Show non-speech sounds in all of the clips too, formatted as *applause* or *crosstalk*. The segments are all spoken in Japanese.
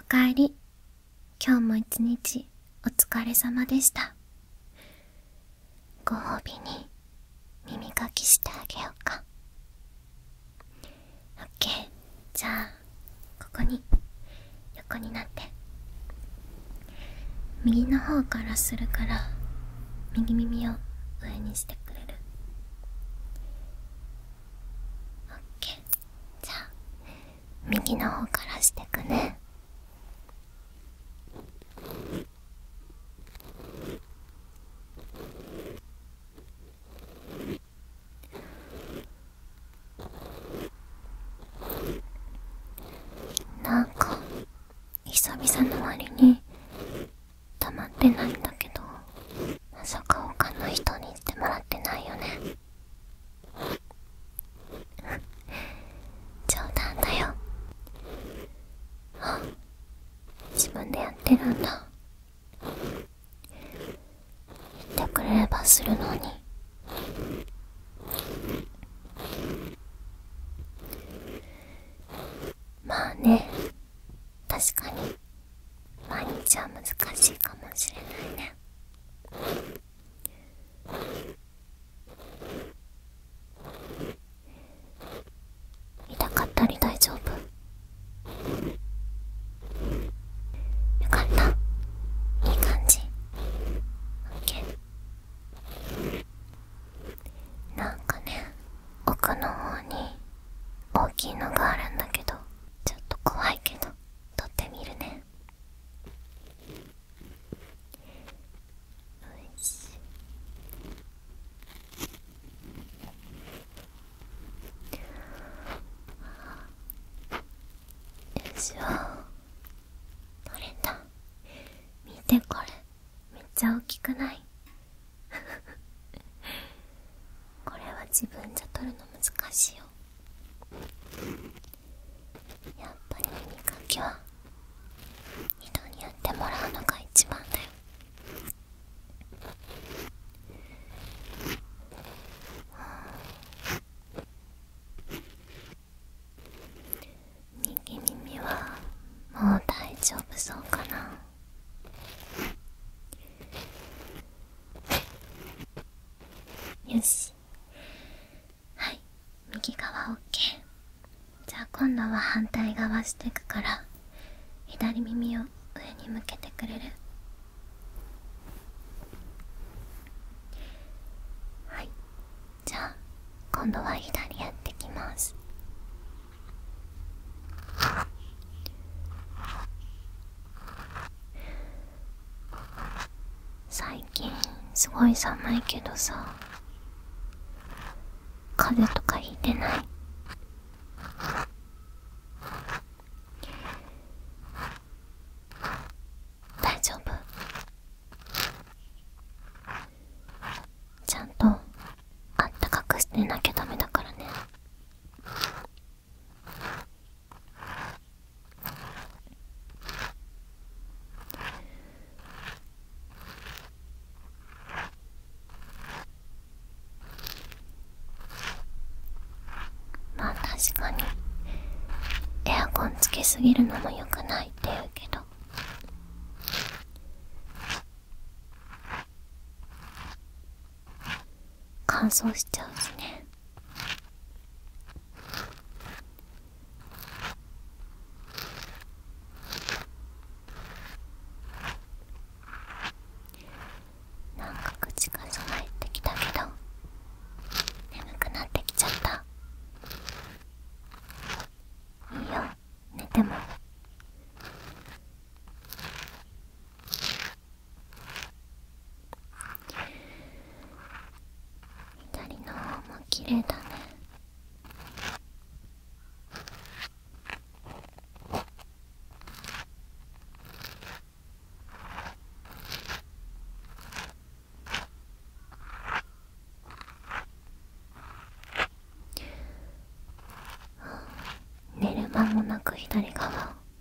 おかえり今日も一日お疲れ様でしたご褒美に耳かきしてあげようかオッケーじゃあここに横になって右の方からするから右耳を上にしてくれるオッケーじゃあ右の方からしてくねなんか久々の割に溜まってないんだけどまさか他の人に言ってもらってないよね *laughs* 冗談だよあ自分でやってるんだ言ってくれればするのにまあね確かに毎日は難しいかもしれないね痛かったり大丈夫よかったいい感じ OK なんかね奥の方に大きいのがあるんだけどちょっと怖いけど撮ってみるねよしよいしょ撮れた見てこれめっちゃ大きくない *laughs* これは自分じゃ撮るの難しいよやっぱり耳かきは人にやってもらうのが一番だよ右耳はもう大丈夫そうかなよしはい右側 OK じゃあ今度は反対側してくから左耳を上に向けてくれるはいじゃあ今度は左やってきます最近すごい寒いけどさ風邪とかひいてない大丈夫ちゃんとあったかくしてなきゃダメだからねまあ確かにエアコンつけすぎるのも良くないって言うけど乾燥しちゃうしねなんか口が閉まってきたけど眠くなってきちゃったいいよ寝ても左の方も綺麗だね寝る間もなく左側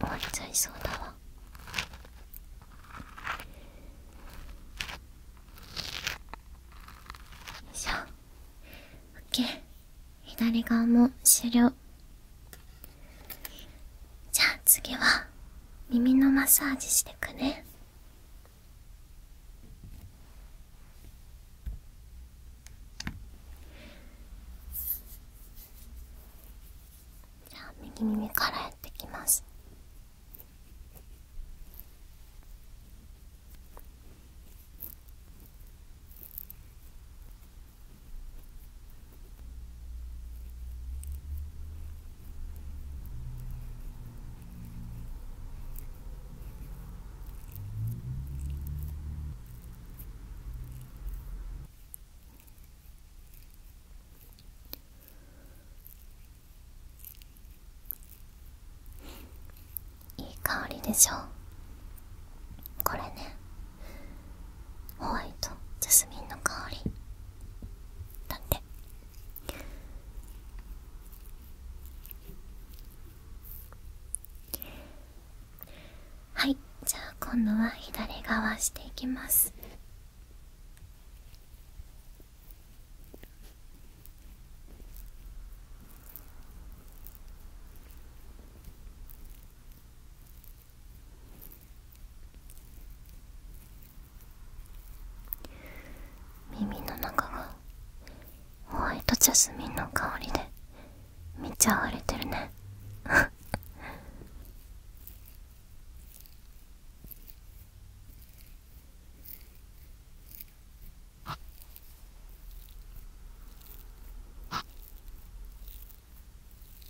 終わっちゃいそうだわよいしょ OK 左側も終了じゃあ次は耳のマッサージしてくねじゃあ右耳からやってきますいい香りでしょこれねホワイトジャスミンの香りなんはいじゃあ今度は左側していきます耳の中がホワイトジャスミンの香りでめっちゃ荒れてるね *laughs*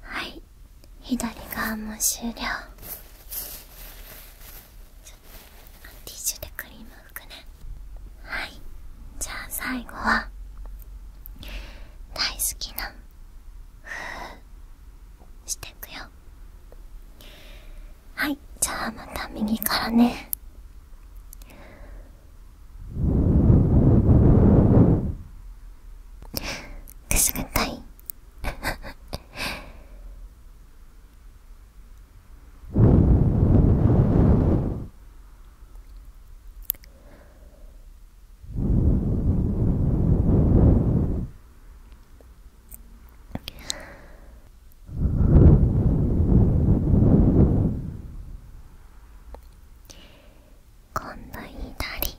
はい左側も終了ティッシュでクリーム拭くねはいじゃあ最後は大好きなふうしてくよはいじゃあまた右からねくすぐったいこんないなり。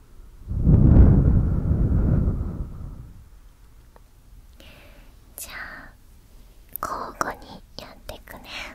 じゃあ交互にやっていくね「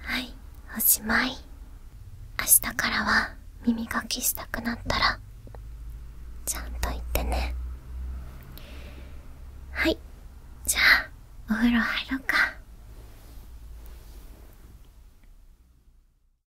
はいおしまい明日からは耳かきしたくなったらちゃんと言ってねはいじゃあお風呂入ろうか。